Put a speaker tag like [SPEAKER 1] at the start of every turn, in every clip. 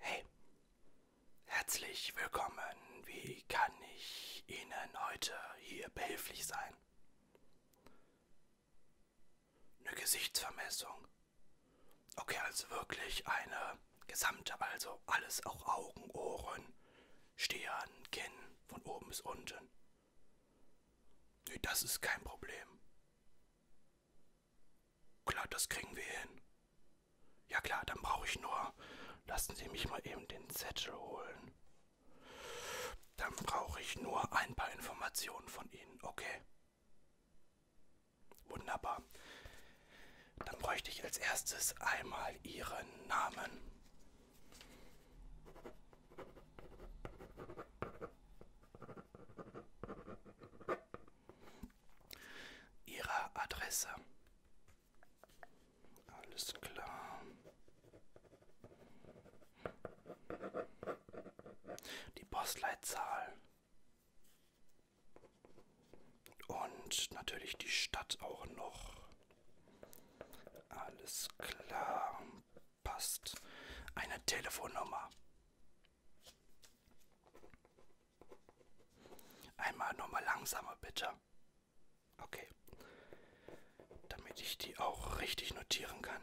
[SPEAKER 1] Hey, herzlich willkommen. Wie kann ich Ihnen heute hier behilflich sein? Eine Gesichtsvermessung. Okay, also wirklich eine gesamte, also alles auch Augen, Ohren, Stirn, Kinn, von oben bis unten. Nee, das ist kein Problem. Klar, das kriegen wir hin. Ja klar, dann brauche ich nur. Lassen Sie mich mal eben den Zettel holen. Dann brauche ich nur ein paar Informationen von Ihnen, okay? Wunderbar. Dann bräuchte ich als erstes einmal Ihren Namen. Ihrer Adresse. Alles klar. Die Postleitzahl. Und natürlich die Stadt auch noch. Alles klar. Passt. Eine Telefonnummer. Einmal nochmal langsamer, bitte. Okay. Damit ich die auch richtig notieren kann.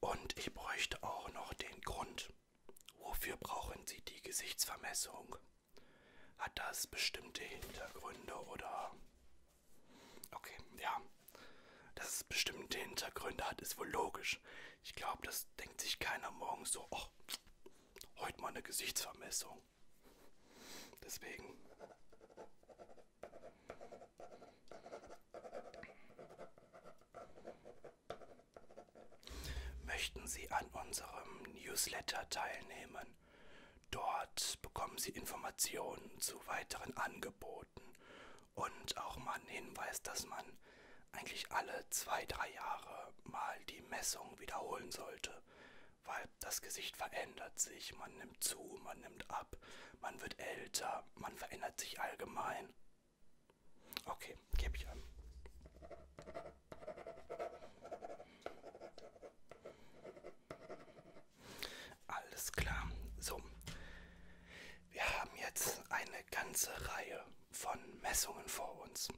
[SPEAKER 1] Und ich bräuchte auch noch den Grund. Wofür brauchen Sie die Gesichtsvermessung? Hat das bestimmte Hintergründe oder... Okay, ja. Dass es bestimmte Hintergründe hat, ist wohl logisch komisch. Ich glaube, das denkt sich keiner morgens so, oh, heute mal eine Gesichtsvermessung. Deswegen. Möchten Sie an unserem Newsletter teilnehmen? Dort bekommen Sie Informationen zu weiteren Angeboten und auch mal einen Hinweis, dass man eigentlich alle zwei, drei Jahre mal die Messung wiederholen sollte, weil das Gesicht verändert sich, man nimmt zu, man nimmt ab, man wird älter, man verändert sich allgemein. Okay, gebe ich an. Alles klar. So, wir haben jetzt eine ganze Reihe von Messungen vor uns.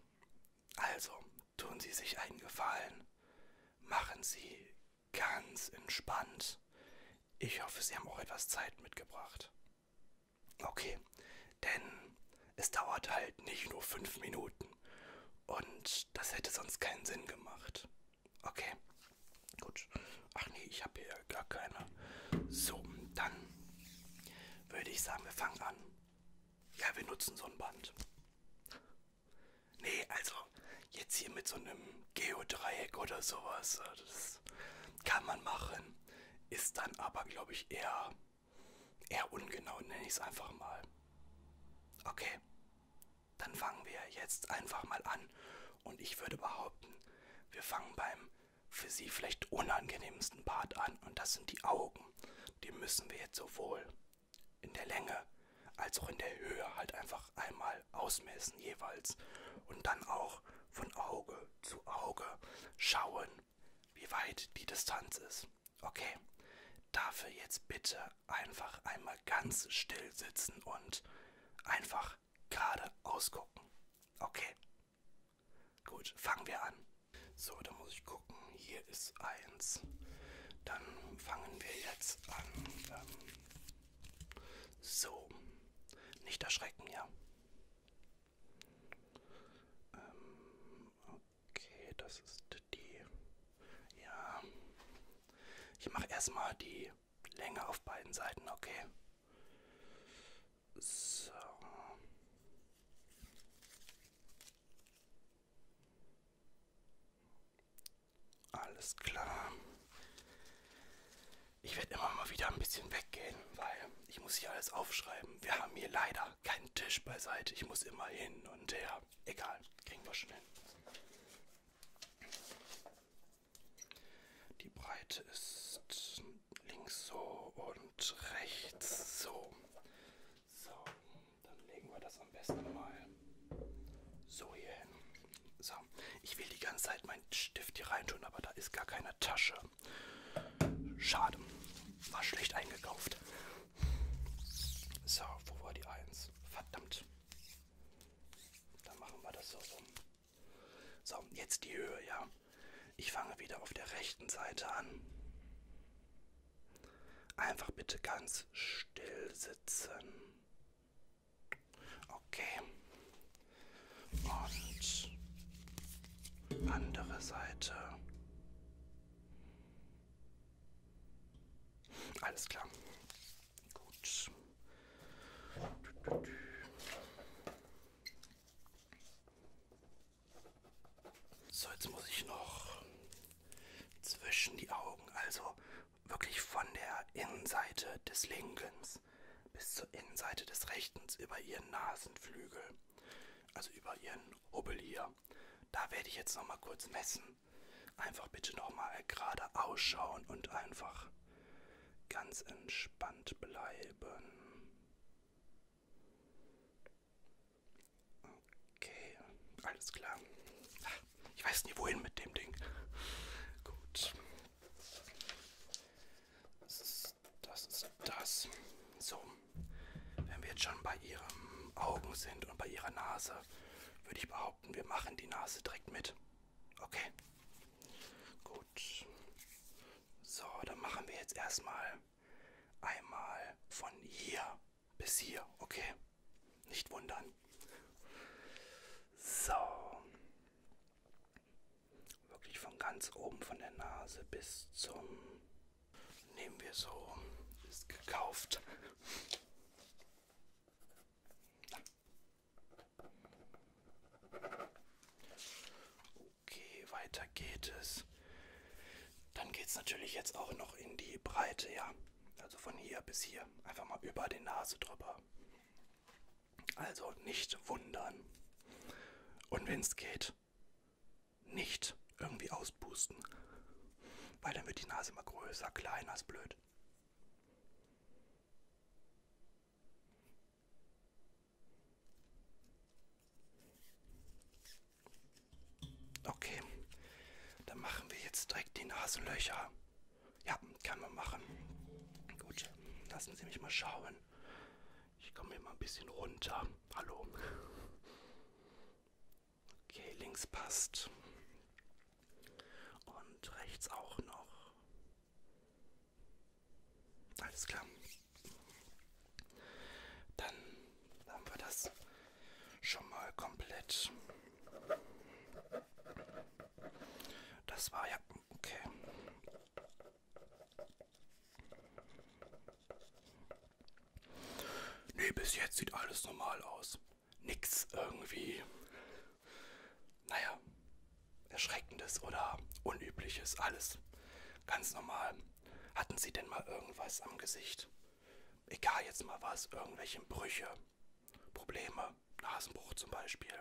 [SPEAKER 1] Also tun Sie sich einen Gefallen, machen Sie ganz entspannt. Ich hoffe, Sie haben auch etwas Zeit mitgebracht. Okay, denn es dauert halt nicht nur fünf Minuten. Und das hätte sonst keinen Sinn gemacht. Okay, gut. Ach nee, ich habe hier ja gar keine. So, dann würde ich sagen, wir fangen an. Ja, wir nutzen so ein Band. Nee, also jetzt hier mit so einem Geodreieck oder sowas, äh, das kann man machen. Ist dann aber, glaube ich, eher, eher ungenau, nenne ich es einfach mal. Okay, dann fangen wir jetzt einfach mal an. Und ich würde behaupten, wir fangen beim für sie vielleicht unangenehmsten Part an und das sind die Augen. Die müssen wir jetzt sowohl in der Länge als auch in der Höhe halt einfach einmal ausmessen jeweils und dann auch von Auge zu Auge schauen, wie weit die Distanz ist. Okay, dafür jetzt bitte einfach einmal ganz still sitzen und einfach gerade ausgucken. Okay, Gut, fangen wir an. So, da muss ich gucken. Hier ist eins. Dann fangen wir jetzt an. Ähm, so, nicht erschrecken, ja. Ähm, okay, das ist die. Ja. Ich mache erstmal die Länge auf beiden Seiten, okay. So. Alles klar. Ich werde immer mal wieder ein bisschen weggehen, weil ich muss hier alles aufschreiben. Wir haben hier leider keinen Tisch beiseite. Ich muss immer hin und her. Egal, kriegen wir schon hin. Die Breite ist links so und rechts so. So, dann legen wir das am besten mal so hier hin. So, ich will die ganze Zeit meinen Stift hier reintun, aber da ist gar keine Tasche. Schade, war schlecht eingekauft. So, wo war die 1? Verdammt. Dann machen wir das so rum. So, jetzt die Höhe, ja. Ich fange wieder auf der rechten Seite an. Einfach bitte ganz still sitzen. Okay. Und andere Seite. Alles klar. Gut. So, jetzt muss ich noch zwischen die Augen, also wirklich von der Innenseite des Linkens bis zur Innenseite des Rechten über ihren Nasenflügel, also über ihren Hubbel hier. Da werde ich jetzt noch mal kurz messen. Einfach bitte noch mal gerade ausschauen und einfach ganz entspannt bleiben. Okay, alles klar. Ich weiß nie wohin mit dem Ding. Gut. Das ist das. Ist das. So, wenn wir jetzt schon bei ihren Augen sind und bei ihrer Nase, würde ich behaupten, wir machen die Nase direkt mit. Okay. Gut. So, dann machen wir jetzt erstmal einmal von hier bis hier. Okay. Nicht wundern. So. Wirklich von ganz oben von der Nase bis zum... Nehmen wir so. Ist gekauft. Okay, weiter geht es. Dann geht es natürlich jetzt auch noch in die Breite, ja. Also von hier bis hier. Einfach mal über die Nase drüber. Also nicht wundern. Und wenn es geht, nicht irgendwie auspusten. Weil dann wird die Nase immer größer, kleiner, ist blöd. Okay, dann machen wir jetzt direkt die Nasenlöcher. Ja, kann man machen. Gut, lassen Sie mich mal schauen. Ich komme hier mal ein bisschen runter. Hallo. Okay, links passt. Und rechts auch noch. Alles klar. Dann haben wir das schon mal komplett. Das war ja okay. Nee, bis jetzt sieht alles normal aus. Nix irgendwie naja, Erschreckendes oder Unübliches, alles ganz normal. Hatten Sie denn mal irgendwas am Gesicht? Egal jetzt mal was, irgendwelche Brüche, Probleme, Nasenbruch zum Beispiel.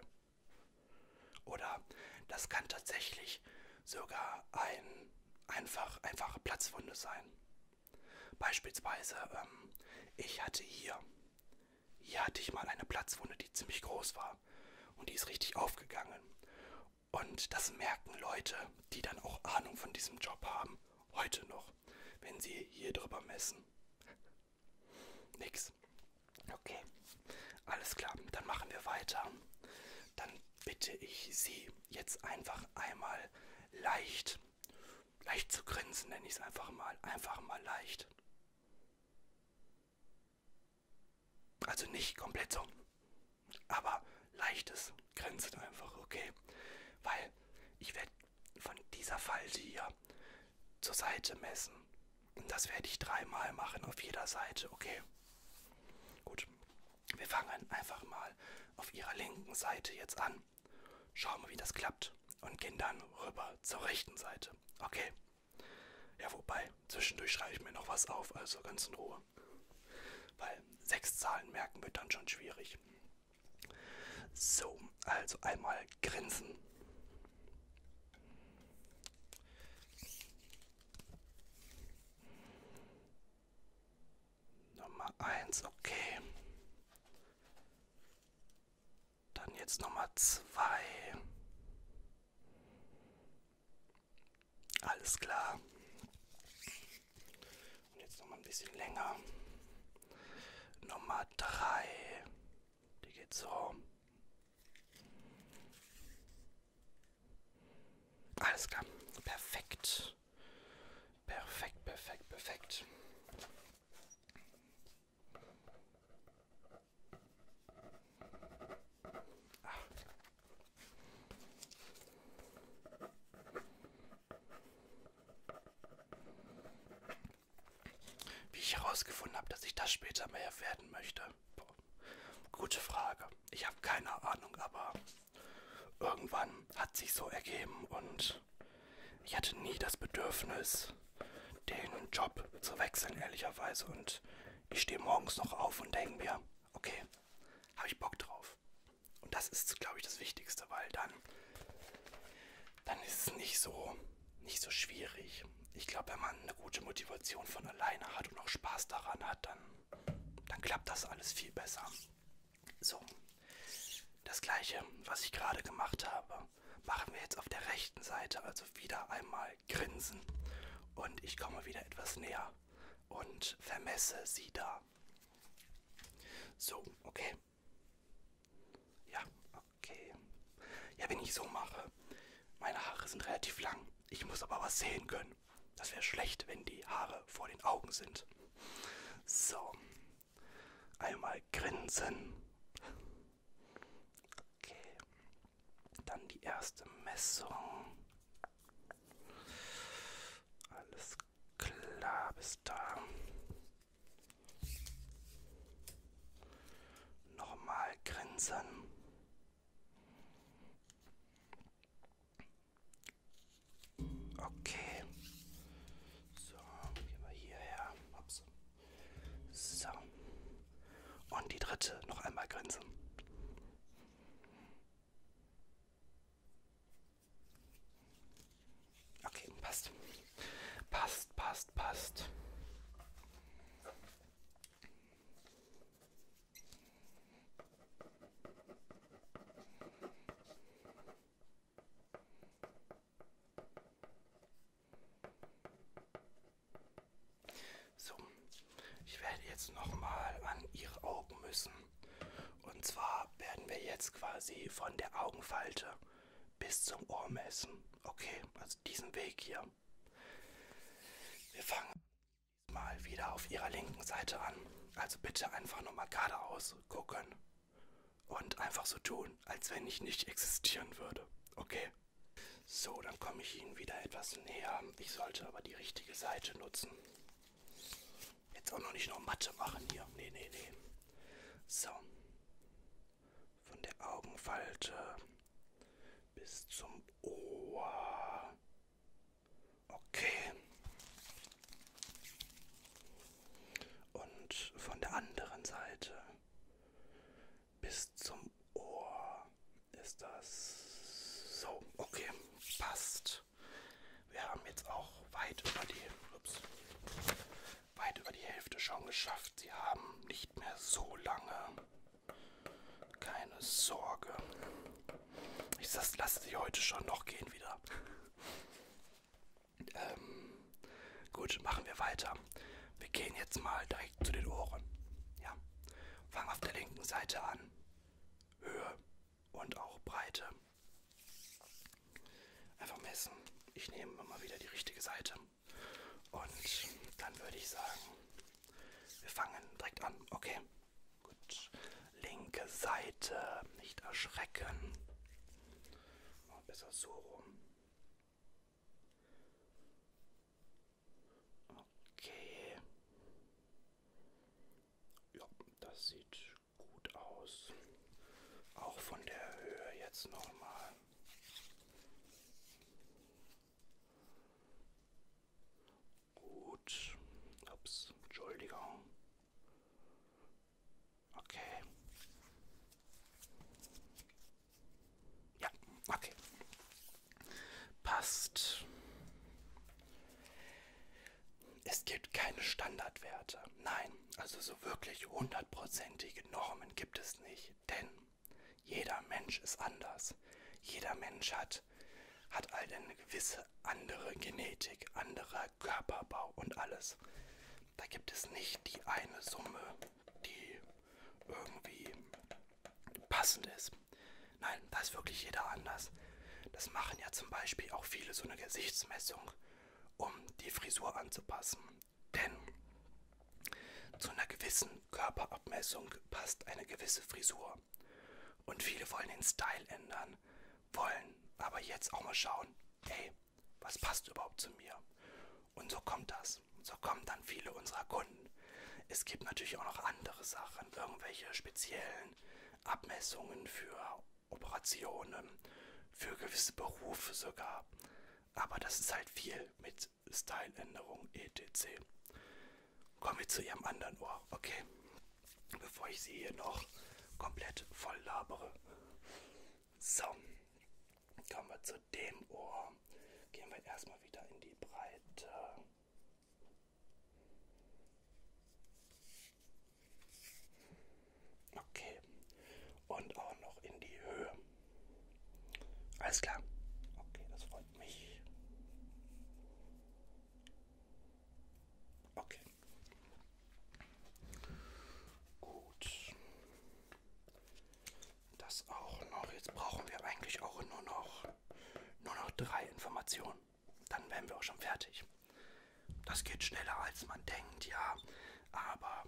[SPEAKER 1] Oder das kann tatsächlich sogar ein einfach, einfache Platzwunde sein. Beispielsweise, ähm, ich hatte hier hier hatte ich mal eine Platzwunde, die ziemlich groß war. Und die ist richtig aufgegangen. Und das merken Leute, die dann auch Ahnung von diesem Job haben, heute noch, wenn sie hier drüber messen. Nix. Okay. Alles klar, dann machen wir weiter. Dann bitte ich Sie jetzt einfach einmal leicht, leicht zu grinsen, nenne ich es einfach mal, einfach mal leicht. Also nicht komplett so, aber leichtes Grenzen einfach, okay? Weil ich werde von dieser Falte hier zur Seite messen. Und das werde ich dreimal machen auf jeder Seite, okay? Gut, wir fangen einfach mal auf ihrer linken Seite jetzt an. Schauen wir, wie das klappt. Und gehen dann rüber zur rechten Seite. Okay. Ja, wobei, zwischendurch schreibe ich mir noch was auf, also ganz in Ruhe. Weil sechs Zahlen merken wird dann schon schwierig. So, also einmal grinsen. Nummer eins, okay. Dann jetzt nochmal zwei. Alles klar. Und jetzt nochmal ein bisschen länger. Nummer drei. Die geht so. Alles klar. Perfekt. Perfekt, perfekt, perfekt. Ach. Wie ich herausgefunden habe, dass ich das später mehr werden möchte. Boah. Gute Frage. Ich habe keine Ahnung, aber irgendwann hat sich so ergeben und ich hatte nie das Bedürfnis, den Job zu wechseln, ehrlicherweise. Und ich stehe morgens noch auf und denke mir, okay, habe ich Bock drauf. Und das ist, glaube ich, das Wichtigste, weil dann, dann ist es nicht so, nicht so schwierig. Ich glaube, wenn man eine gute Motivation von alleine hat und auch Spaß daran hat, dann, dann klappt das alles viel besser. So, das gleiche, was ich gerade gemacht habe, machen wir jetzt auf der rechten Seite. Also wieder einmal grinsen. Und ich komme wieder etwas näher und vermesse sie da. So, okay. Ja, okay. Ja, wenn ich so mache, meine Haare sind relativ lang. Ich muss aber was sehen können. Das wäre schlecht, wenn die Haare vor den Augen sind. So, Einmal grinsen. Okay. Dann die erste Messung. Alles klar, bis da. Nochmal grinsen. Okay. So, gehen wir hierher. Ups. So. Und die dritte, noch einmal grinsen. Okay, passt. Passt, passt, passt. So, ich werde jetzt nochmal an Ihre Augen müssen. Und zwar werden wir jetzt quasi von der Augenfalte bis zum Ohr messen. Okay, also diesen Weg hier. Wir fangen mal wieder auf Ihrer linken Seite an. Also bitte einfach nochmal geradeaus gucken und einfach so tun, als wenn ich nicht existieren würde. Okay? So, dann komme ich Ihnen wieder etwas näher. Ich sollte aber die richtige Seite nutzen. Jetzt auch noch nicht noch Mathe machen hier. Nee, nee, nee. So. Von der Augenfalte bis zum Ohr. Okay und von der anderen Seite bis zum Ohr ist das so. Okay, passt. Wir haben jetzt auch weit über die, ups, weit über die Hälfte schon geschafft. Sie haben nicht mehr so lange. Keine Sorge. Ich lasse sie heute schon noch gehen wieder. Ähm, gut, machen wir weiter. Wir gehen jetzt mal direkt zu den Ohren. Ja. Fangen auf der linken Seite an. Höhe und auch Breite. Einfach messen. Ich nehme immer wieder die richtige Seite. Und dann würde ich sagen, wir fangen direkt an. Okay. Gut linke Seite. Nicht erschrecken. Besser so rum. Okay. Ja, das sieht gut aus. Auch von der Höhe jetzt nochmal. Gut. Ups, Entschuldigung. Okay. Ja, okay. Passt. Es gibt keine Standardwerte. Nein, also so wirklich hundertprozentige Normen gibt es nicht. Denn jeder Mensch ist anders. Jeder Mensch hat, hat halt eine gewisse andere Genetik, andere Körperbau und alles. Da gibt es nicht die eine Summe, die irgendwie passend ist. Nein, da ist wirklich jeder anders. Das machen ja zum Beispiel auch viele so eine Gesichtsmessung, um die Frisur anzupassen. Denn zu einer gewissen Körperabmessung passt eine gewisse Frisur. Und viele wollen den Style ändern, wollen aber jetzt auch mal schauen, hey, was passt überhaupt zu mir? Und so kommt das. So kommen dann viele unserer Kunden. Es gibt natürlich auch noch andere Sachen, irgendwelche speziellen Abmessungen für Operationen, für gewisse Berufe sogar. Aber das ist halt viel mit Styleänderung etc. Kommen wir zu ihrem anderen Ohr, okay? bevor ich sie hier noch komplett voll labere. So, kommen wir zu dem Ohr. Gehen wir erstmal wieder in die Breite. Okay. Und auch noch in die Höhe. Alles klar. Okay, das freut mich. Okay. Gut. Das auch noch. Jetzt brauchen wir eigentlich auch nur noch, nur noch drei Informationen. Dann wären wir auch schon fertig. Das geht schneller als man denkt, ja. Aber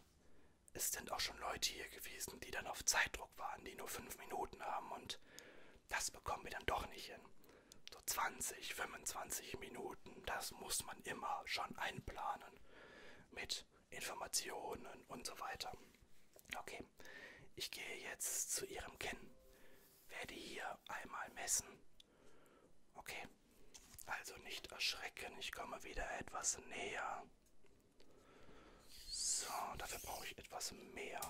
[SPEAKER 1] es sind auch schon Leute hier gewesen, die dann auf Zeitdruck waren, die nur fünf Minuten haben und das bekommen wir dann doch nicht hin so 20, 25 Minuten, das muss man immer schon einplanen mit Informationen und so weiter. Okay, ich gehe jetzt zu Ihrem Kinn, werde hier einmal messen. Okay, also nicht erschrecken, ich komme wieder etwas näher. So, dafür brauche ich etwas mehr.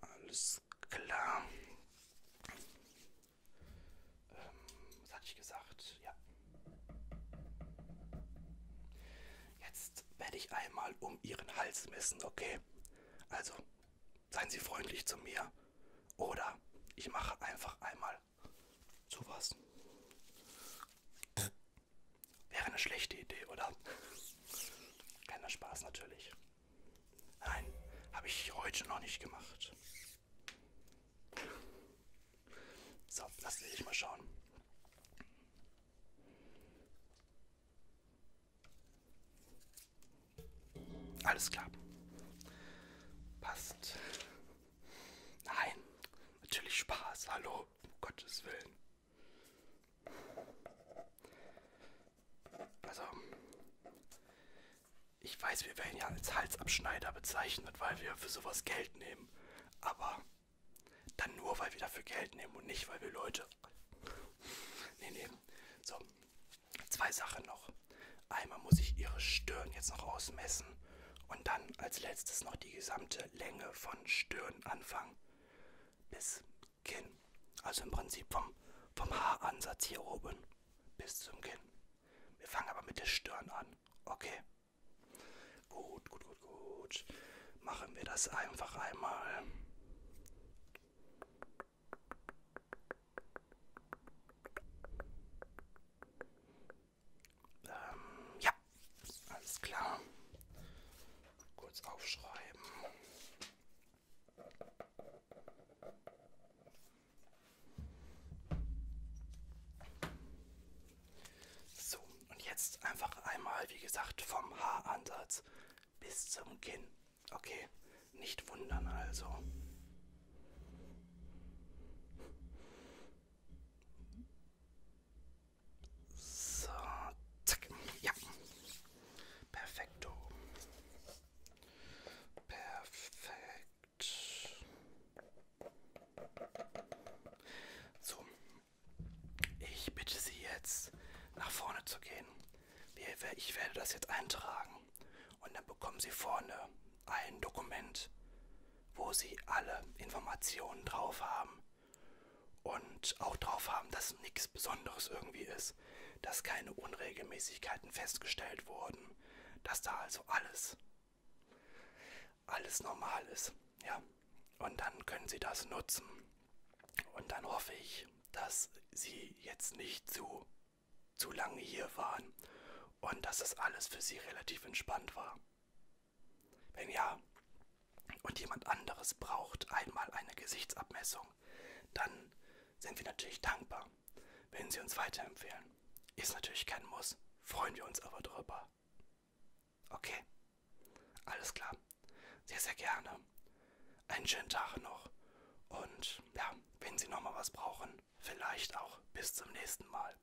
[SPEAKER 1] Alles klar. Ähm, was hatte ich gesagt? Ja. Jetzt werde ich einmal um Ihren Hals messen, okay? Also, seien Sie freundlich zu mir. Oder ich mache einfach einmal sowas. Wäre eine schlechte Idee, oder? Keiner Spaß natürlich. Nein, habe ich heute noch nicht gemacht. So, lass dich mal schauen. Alles klar. Passt. Nein, natürlich Spaß. Hallo, um Gottes Willen. Also, ich weiß, wir werden ja als Halsabschneider bezeichnet, weil wir für sowas Geld nehmen. Aber dann nur, weil wir dafür Geld nehmen und nicht, weil wir Leute. nee, nee. So, zwei Sachen noch. Einmal muss ich ihre Stirn jetzt noch ausmessen und dann als letztes noch die gesamte Länge von Stirn anfangen bis Kinn. Also im Prinzip vom, vom Haaransatz hier oben bis zum Kinn. Wir fangen aber mit der Stirn an. Okay. Gut, gut, gut, gut. Machen wir das einfach einmal. Ähm, ja, alles klar. Kurz aufschreiben. So, und jetzt einfach einmal, wie gesagt, vom Haaransatz bis zum Kinn. Okay, nicht wundern also. So, zack. Ja. Perfekto. Perfekt. So. Ich bitte Sie jetzt nach vorne zu gehen. Ich werde das jetzt eintragen. Und dann bekommen Sie vorne ein Dokument, wo Sie alle Informationen drauf haben und auch drauf haben, dass nichts Besonderes irgendwie ist, dass keine Unregelmäßigkeiten festgestellt wurden, dass da also alles, alles normal ist, ja. Und dann können Sie das nutzen. Und dann hoffe ich, dass Sie jetzt nicht zu, zu lange hier waren und dass das alles für Sie relativ entspannt war. Wenn ja und jemand anderes braucht einmal eine Gesichtsabmessung, dann sind wir natürlich dankbar, wenn Sie uns weiterempfehlen. Ist natürlich kein Muss, freuen wir uns aber drüber. Okay, alles klar. Sehr, sehr gerne. Einen schönen Tag noch. Und ja, wenn Sie nochmal was brauchen, vielleicht auch bis zum nächsten Mal.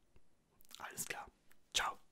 [SPEAKER 1] Alles klar. Ciao.